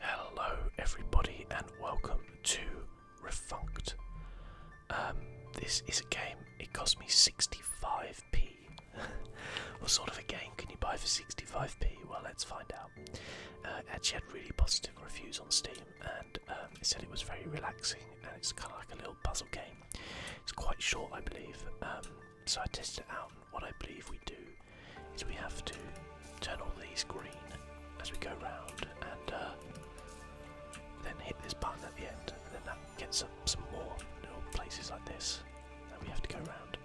Hello, everybody, and welcome to Refunct. Um, this is a game, it cost me 65p. what sort of a game can you buy for 65p? Well, let's find out. Uh, actually had really positive reviews on Steam, and um, it said it was very relaxing and it's kind of like a little puzzle game. It's quite short, I believe, um, so I tested it out what I believe we do is we have to turn all these green as we go round and uh, then hit this button at the end and then that gets some more little places like this And we have to go round.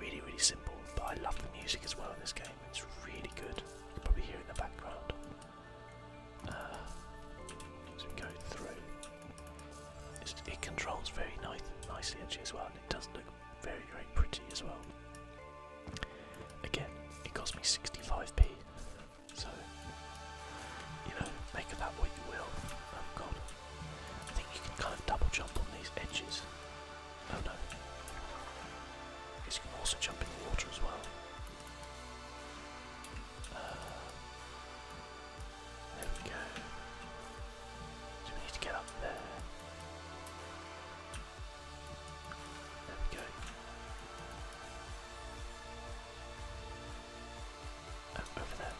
Really, really simple, but I love the music as well in this game. It's really good. You can probably hear in the background. Uh, we go through, it controls very nice, nicely actually as well, and it does look very, very pretty as well. Again, it cost me 65p, so you know, make of that what you will. Oh god, I think you can kind of double jump on these edges. Oh no, I guess you can also jump in the water as well. Uh, there we go we need to get up there. There we go. Oh, over there.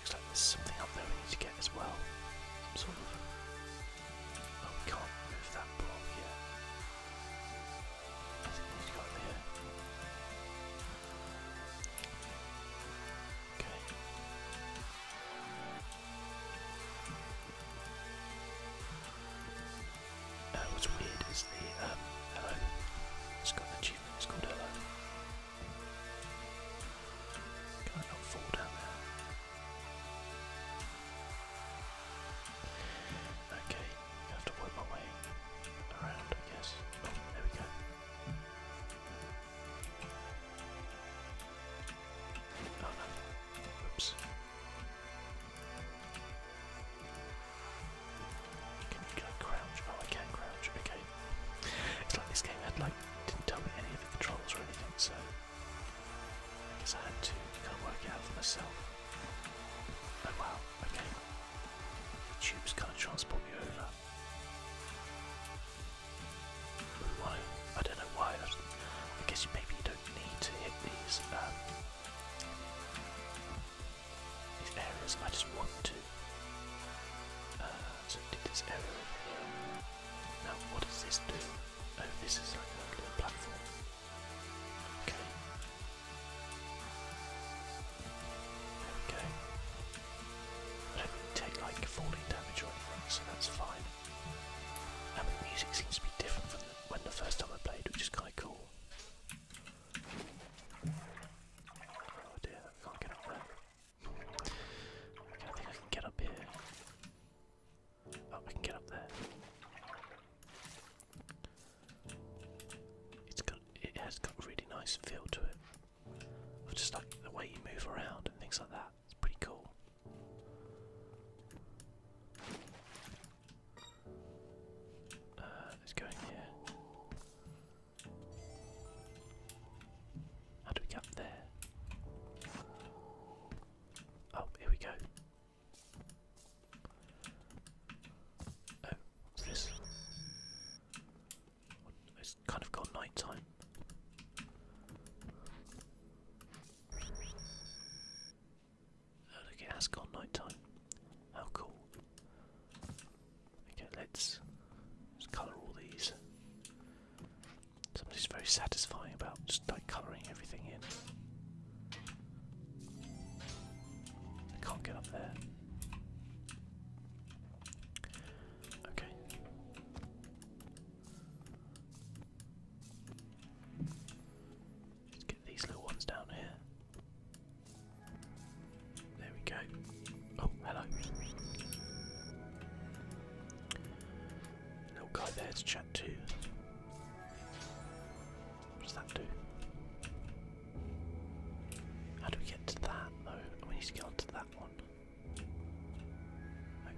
Looks like there's something up there we need to get as well. sort of. Oh, we can't move that block yet. I think we need to go over here. Okay. Uh, what's weird is the um, hello. It's got the achievement. It's called hello. Can I not fall down there? Okay, I have to work my way around, I guess. Oh, there we go. Can you like crouch? Oh I can crouch, okay. It's like this game had like didn't tell me any of the controls or anything, so I guess I had to kind of work it out for myself. Oh wow, okay. The tubes kind of transport me over. I don't know why. I guess maybe you don't need to hit these um, areas. I just want to. Uh, so did this area Now what does this do? Oh, this is like a little platform. Okay. There I don't really take like falling damage or anything, so that's fine. And the music seems to be different from when the first time I played, which is kind of cool. Oh dear, I can't get up there. Okay, I think I can get up here. Oh, I can get up there. It's got, it has got a really nice feel to it just like the way you move around and things like that. It's pretty cool. let's uh, go in here. How do we get there? Oh, here we go. Oh, what's this? It's kind of gone nighttime. look, it has gone night How cool. Okay, let's colour all these. Something's very satisfying about just like colouring everything in. I can't get up there. Okay. Let's get these little ones down here. There we go. Oh, hello. Little guy there to chat to. What does that do? How do we get to that though? We need to get onto that one.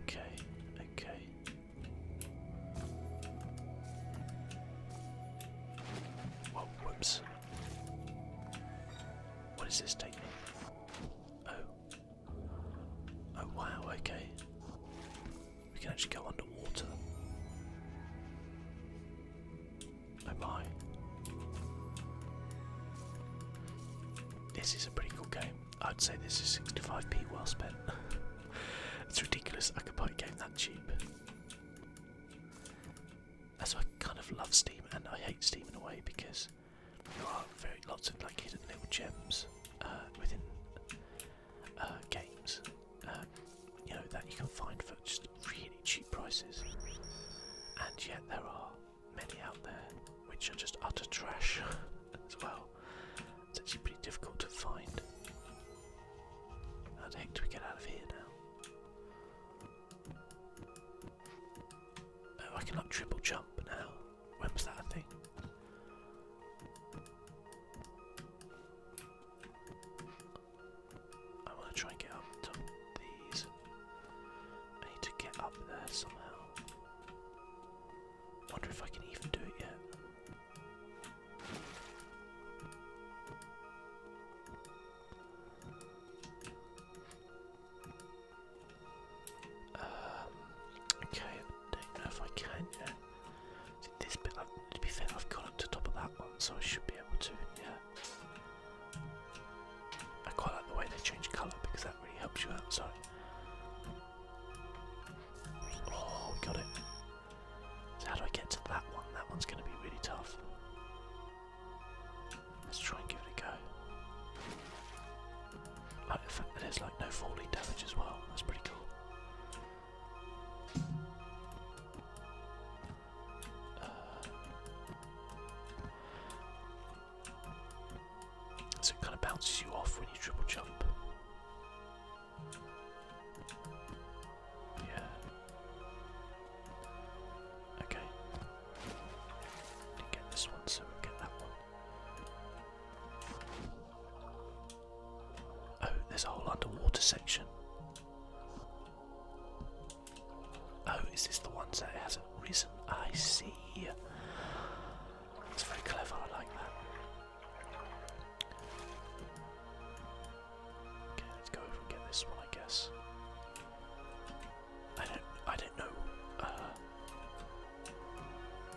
Okay, okay. Whoa, whoops. What does this take me? Oh. Oh wow, okay. We can actually go underwater. Oh my. This is a pretty cool game. I'd say this is 65p well spent. it's ridiculous I could buy a game that cheap. That's why I kind of love Steam and I hate Steam in a way because there are very lots of like hidden little gems uh, within uh, games. Uh, you know that you can find for just really cheap prices, and yet there are many out there which are just utter trash as well. It's actually pretty difficult to find. How the heck do we get out of here now? Oh, I can like triple jump now. When was that a thing? I want to try and get up top of I need to get up there somehow. Wonder if I can even do it yet. Um, okay, don't know if I can. Yeah. this bit, to be fair, I've gone up to top of that one, so I should be able to. I quite like the way they change colour because that really helps you out. Sorry. Oh, we got it. So how do I get to that one? That one's going to be really tough. Let's try and give it a go. like the fact that there's like no falling damage as well. That's pretty cool. Uh, so it kind of bounces you off when you triple jump. Yeah. Okay. get this one, so we get that one. Oh, there's a whole underwater section. Oh, is this the one that hasn't risen? I see. It's very clever, I like that. Okay, let's go over and get this one, I guess. I don't, I don't know uh,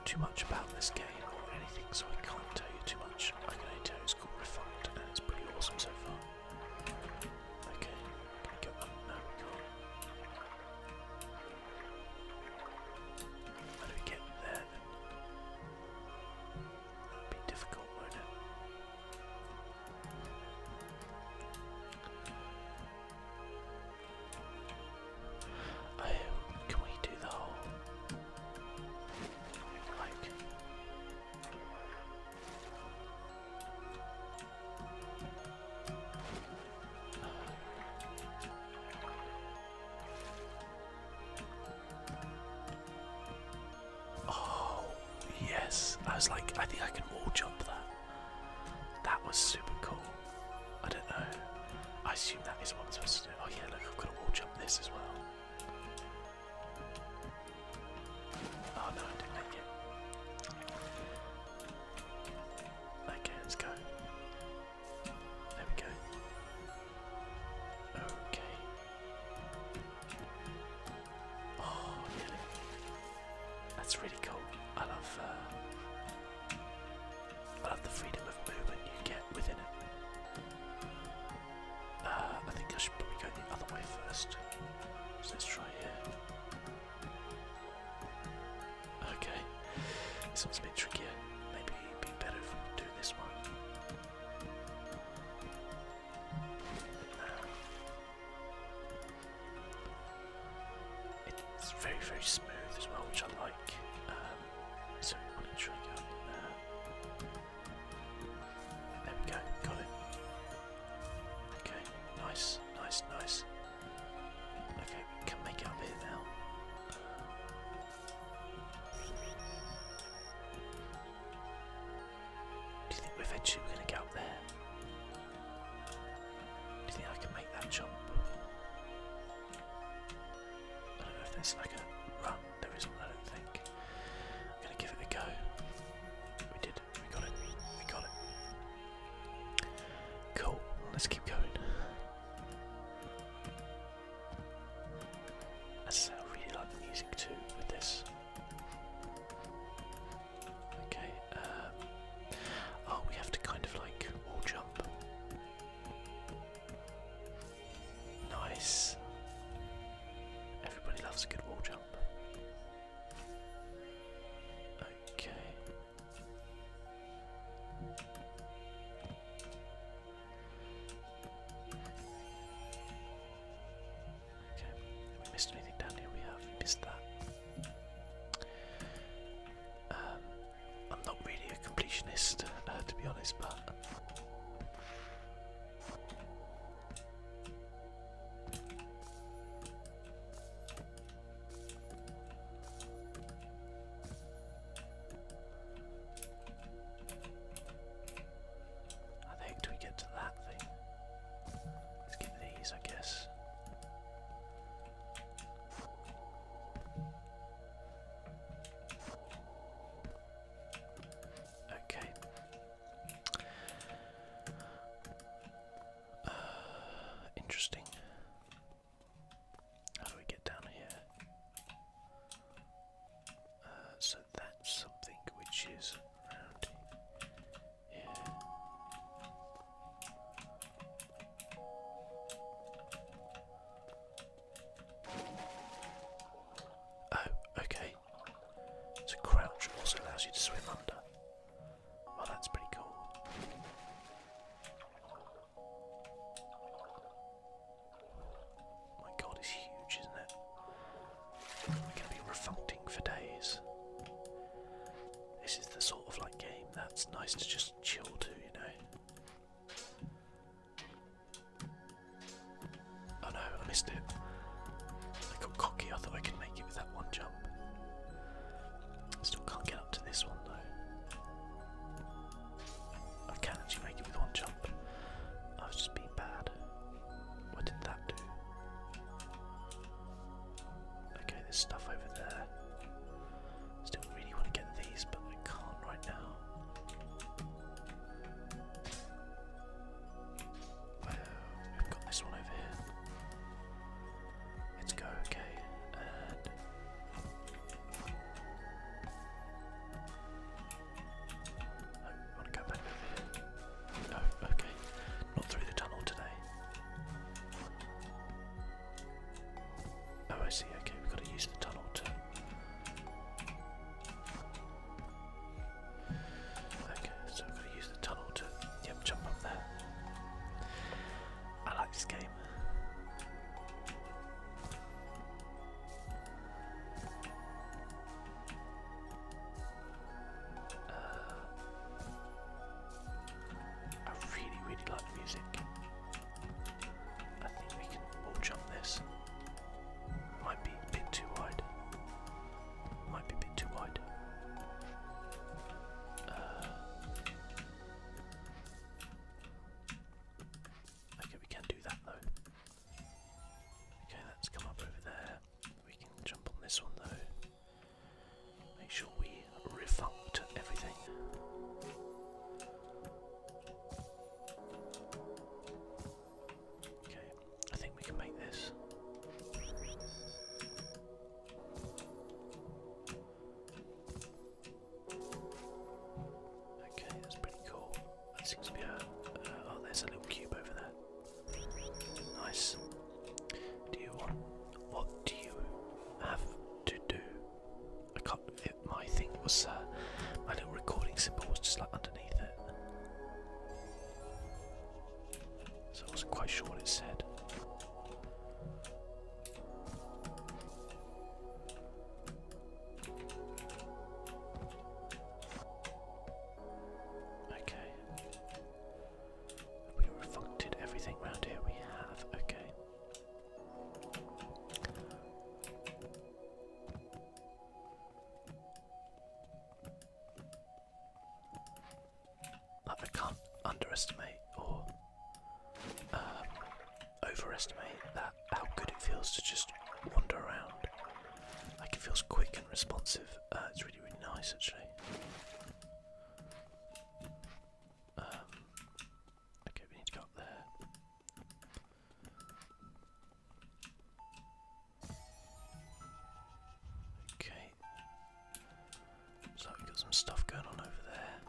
too much about this game or anything, so I can't tell you too much. I can only tell you it's called Refined, and it's pretty awesome so far. Okay, I How do we get there That'd be difficult, won't it? Oh, can we do the whole like Oh, yes. I was like, I think I can wall jump that. That was super cool. I don't know. I assume that is what I'm supposed to do. Oh, yeah, look, I've got to wall jump this as well. Oh no, I didn't make it. Okay, let's go. There we go. Okay. Oh, really? That's really cool. I love, uh, I love the freedom of movement you get within it. Uh, I think I should probably go the other way first. So let's try here. Okay, this one's a bit trickier. Maybe be better if we do this one. Uh, it's very, very smooth as well, which I like. Um, so, on a trigger. Uh, there we go, got it. Okay, nice nice, nice. Okay, we can make it up here now. Do you think we're actually going to get up there? Do you think I can make that jump? I don't know if there's like a run. There isn't, I don't think. I'm going to give it a go. We did we got it. We got it. Cool. Let's keep going. I really like the music too with this. Okay. Um, oh, we have to kind of like wall jump. Nice. Everybody loves a good wall jump. Okay. Okay, we missed anything down here? We have missed that. Um, I'm not really a completionist, uh, to be honest, but how the heck do we get to that thing? Let's get these, I guess. Okay. interesting. How do we get down here? Uh, so that's something which is around here. Oh, okay. So crouch also allows you to swim under. Well, that's pretty cool. My god, it's huge, isn't it? We're going to be refuncting for days. This is the sort of like game that's nice to just chill to, you know. Oh no, I missed it. I got cocky, I thought I could make it with that one jump. Still can't get up to this one though. I can actually make it with one jump. I was just being bad. What did that do? Okay, there's stuff over there. Still really want to get these, but I can't right now we've got this one over here. Let's go, okay, I oh, want to go back No, okay, not through the tunnel today. Oh, I see. Okay, we've got to use the tunnel too. Okay, so I'm going to use the tunnel to jump up there. I like this game. Uh, I really, really like the music. I think we can all jump this. Might be a bit too wide. Might be a bit too wide. Uh, okay, we can do that though. Okay, that's come up over there. We can jump on this one though. Make sure we revolt everything. Okay, I think we can make this. Okay, that's pretty cool. That seems to be a. Uh, oh, there's a little cube over there. Nice. Do you want. What do you have to do? I can It, my thing was. Uh, my little recording symbol was just like underneath it. So I wasn't quite sure what it said. Okay. we reflected everything round here? We have, okay. I can't underestimate or um, overestimate that how good it feels to just wander around. Like it feels quick and responsive. Uh, it's really really nice actually. Um, okay, we need to go up there. Okay. Looks we got some stuff going on over there.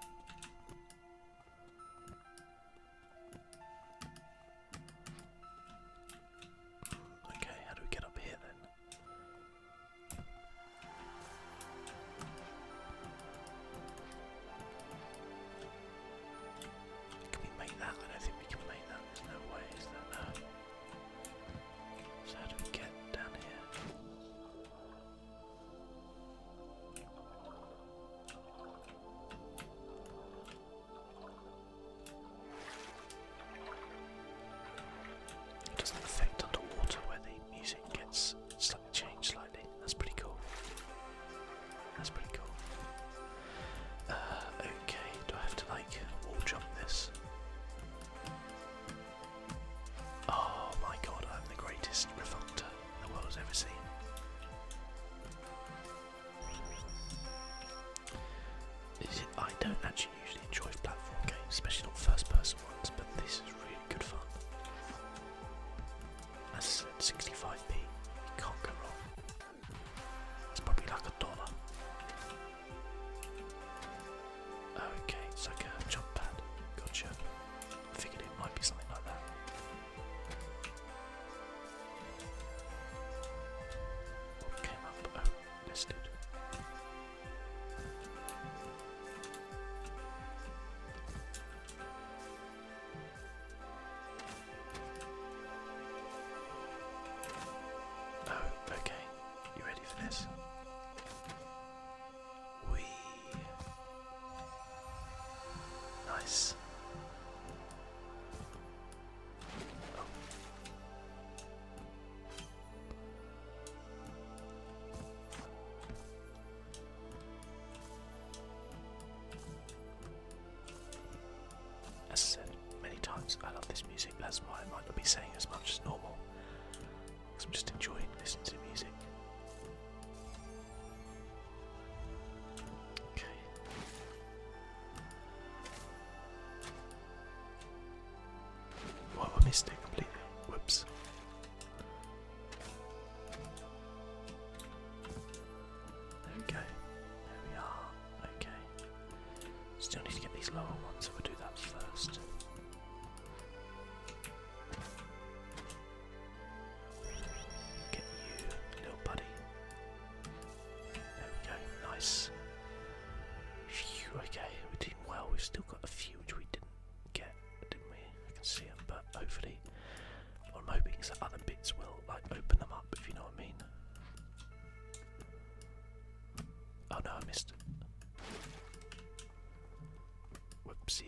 Okay, how do we get up here then? Can we make that? I don't think we can make that. There's no way, so how do we get down here? It doesn't affect underwater where the music gets slightly changed slightly. That's pretty cool. That's pretty cool. Uh, Okay, do I have to like wall jump this? Oh my god, I'm the greatest revolter the world has ever seen. I don't actually usually enjoy platform games, especially not first person ones, but this is really good fun. As I said, 65p, you can't go wrong. It's probably like a dollar. Okay, it's like a jump pad. Gotcha. I figured it might be something like that. What came up? listed. Oh, oh, okay. You ready for this? Wee. Nice. As I said many times, I love this music, that's why I might not be saying as much as normal. Because I'm just enjoying listening to music. Okay. Well, I missed completely. Whoops. There There we are. Okay. Still need to get these lower ones, so we do that first. Get you, little buddy. There we go, nice. okay, we did well. We've still got a few which we didn't get, didn't we? I can see them, but hopefully, what I'm hoping is that other bits will like open them up, if you know what I mean. Oh no, I missed it. Whoopsie.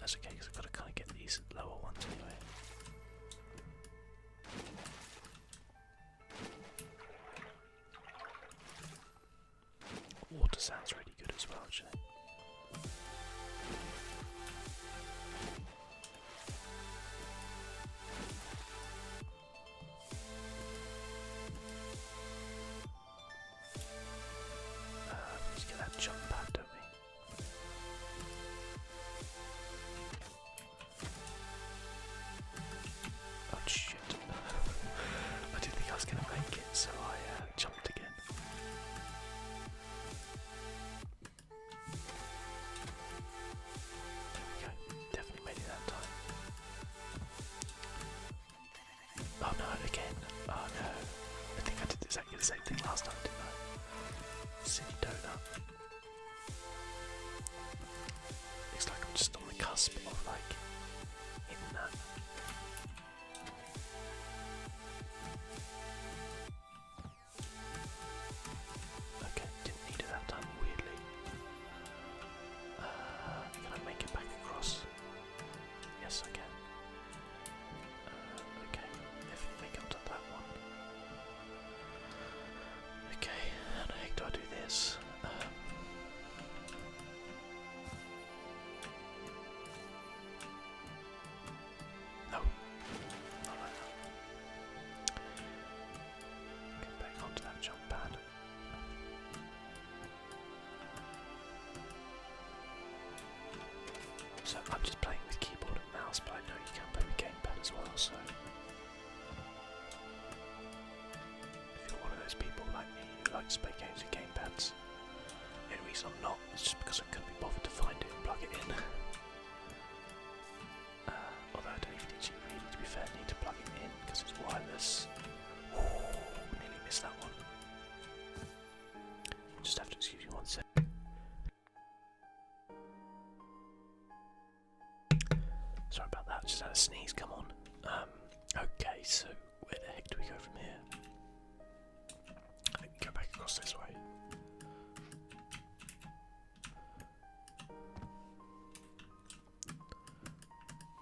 That's okay, because I've got to kind of get these lower ones anyway. Water sounds really good as well, actually. Uh, we to jump pad, do Oh shit. I didn't think I was gonna make it, so I uh, jumped again. There Definitely made it that time. Oh no, again. Oh no. I think I did exactly the same thing last time, didn't Looks like I'm just on the cusp of like hitting that. Okay didn't need it that time, weirdly. Uh, can I make it back across? Yes, I can. Uh, okay, if they come to that one. Okay, how the heck do I do this? Um, no, back onto that jump pad. So I'm just playing with keyboard and mouse, but I know you can play with gamepad as well, so if you're one of those people like me who likes to play games with gamepads, the only reason I'm not is just because I couldn't be bothered to find it and plug it in. Uh, although I don't even need to be fair, I need to plug it in because it's wireless. Ooh, nearly missed that one. Just have to excuse me one sec. Sorry about that, just had a sneeze, come on. Um, okay, so where the heck do we go from here? go back across this way.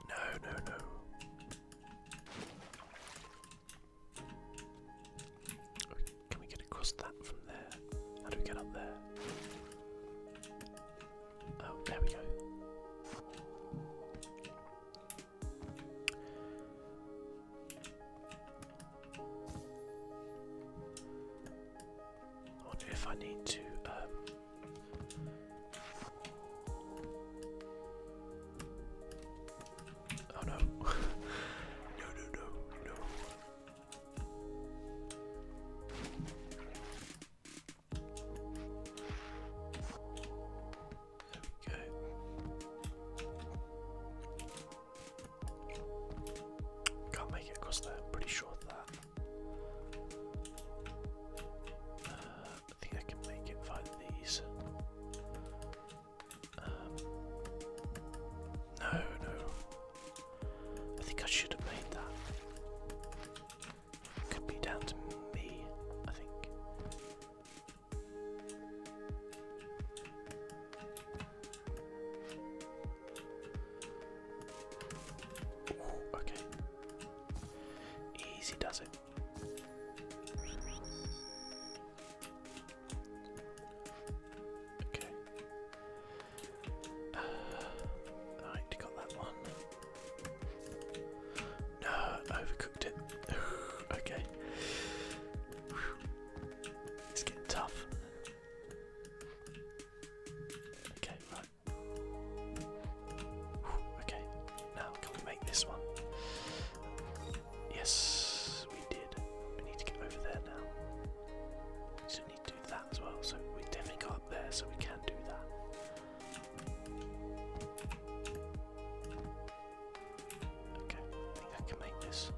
No, no, no. Can we get across that from there? How do we get up there? Oh, there we go if I need to. Um, oh no. no, no, no, There we go. Can't make it across there, pretty sure that. I think I can make it via these. Um, no, no. I think I should have made that. Could be down to me, I think okay. Easy does it. Okay. Uh, right, got that one. No, overcooked it. okay. It's getting tough. Okay, right. okay, now can we make this one? Yes, we did. We need to get over there now. So we need to do that as well. So we definitely got up there, so we can do that. Okay, I think I can make this.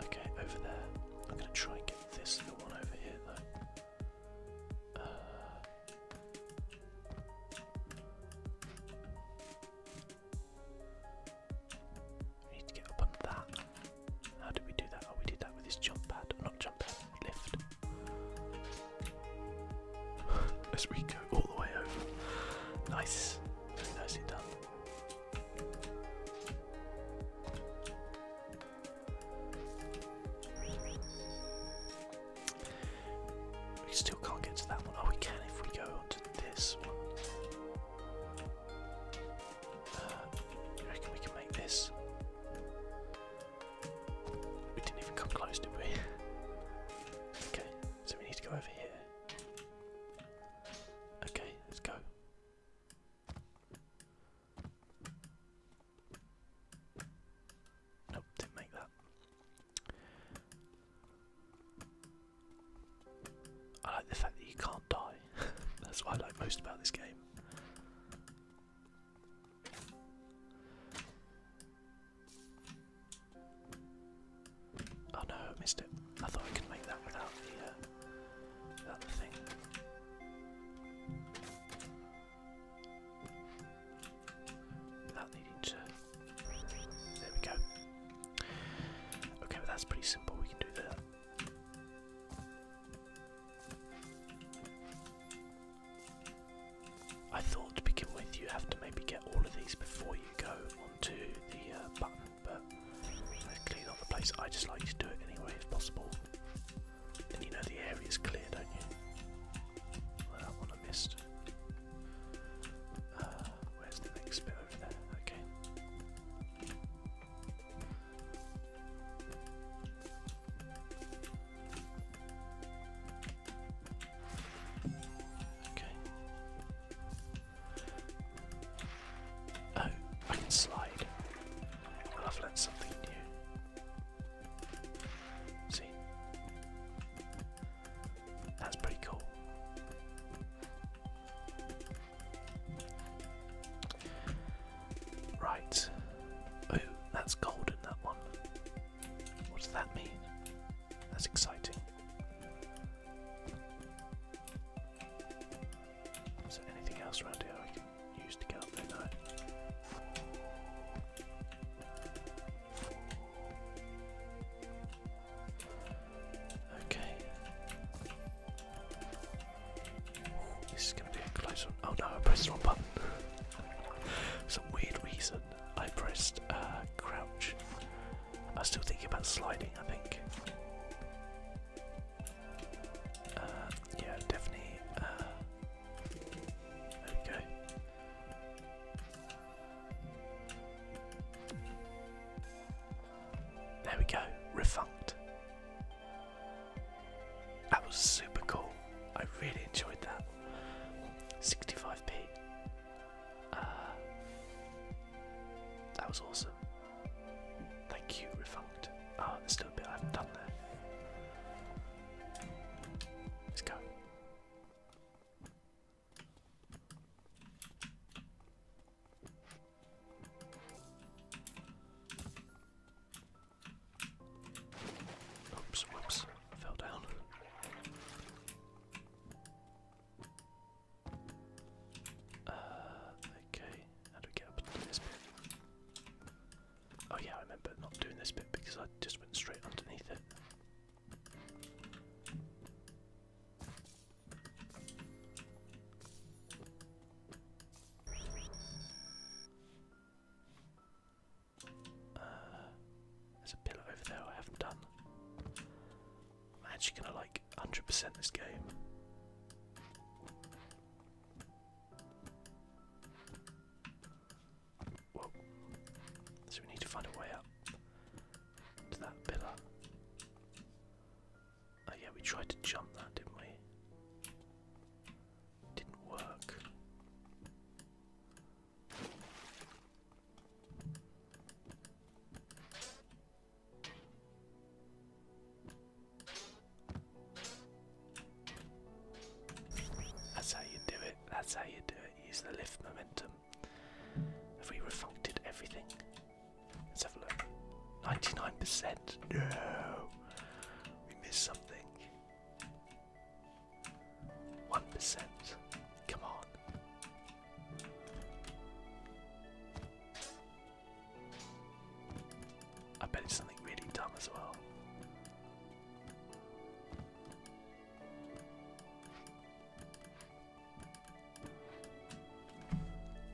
Okay, over there. I'm gonna try and get this little one over here though. Uh, we need to get up on that. How did we do that? Oh, we did that with this jump pad. Not jump pad, lift. as we go all the way over. Nice, very nicely done. We still can't get to that one. Oh, we can if we go onto this one. Uh, reckon we can make this. We didn't even come close, did we? okay, so we need to go over here. Okay, let's go. Nope, didn't make that. I like the fact that you can't die. That's what I like most about this game. Oh no, I missed it. I thought I could make that without the, uh, without thing. Without needing to... There we go. Okay, that's pretty simple, we can do that. I thought to begin with you have to maybe get all of these before you go onto the uh, button, but that's clearly the place. I just like to do it anyway if possible. And you know the area's clear, don't you? that one I missed. Uh, where's the next bit over there? Okay. Okay. Oh, I can slide. I've learned something new. See? That's pretty cool. Right. Oh, that's golden, that one. What does that mean? That's exciting. Is there anything else around here I can use to get up there? No. Okay. this is going to be a close one. Oh no, I pressed the wrong button. Some weird reason. I pressed uh, crouch. I am still thinking about sliding, I think. Uh, yeah, definitely. Uh, there we go. There we go, refunked. That was super cool. I really enjoyed that. 65p. Uh, that was awesome. Thank you, Refunct. oh, ah, there's still a bit I haven't done there. Let's go. Oops, whoops, fell down. Uh, okay, how do we get to this bit? Oh yeah, I remember not doing this bit because I just went straight underneath it. Uh, there's a pillar over there I haven't done. I'm actually gonna like 100% this game. Whoa. So we need to find a way up to that pillar. Oh yeah, we tried to jump that, didn't we? Didn't work. That's how you do it. That's how you do it. Use the lift momentum. Have we refuncted everything? Let's have a look. 99%. No. We missed something. One percent. Come on. I bet it's something really dumb as well.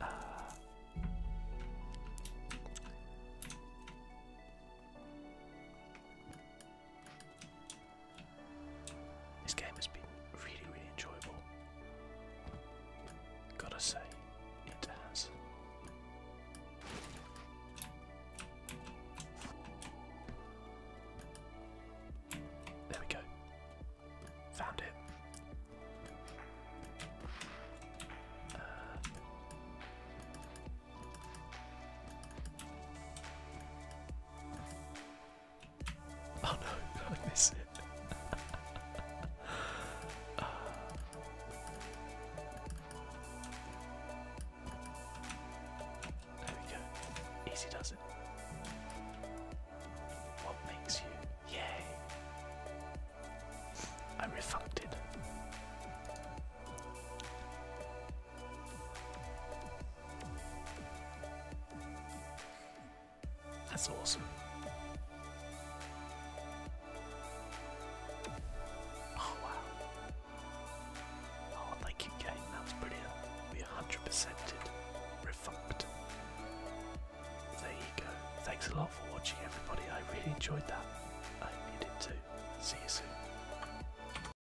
Uh, this game has been really, really enjoyable. Gotta say, it has. There we go. Found it. Uh, Oh no, I miss it. There we go. Easy does it. What makes you yay? I'm that's awesome. Oh wow. Oh thank you game, that was brilliant. We 100%ed. Refucked. There you go. Thanks a lot for watching everybody. I really enjoyed that. I hope you did too. See you soon.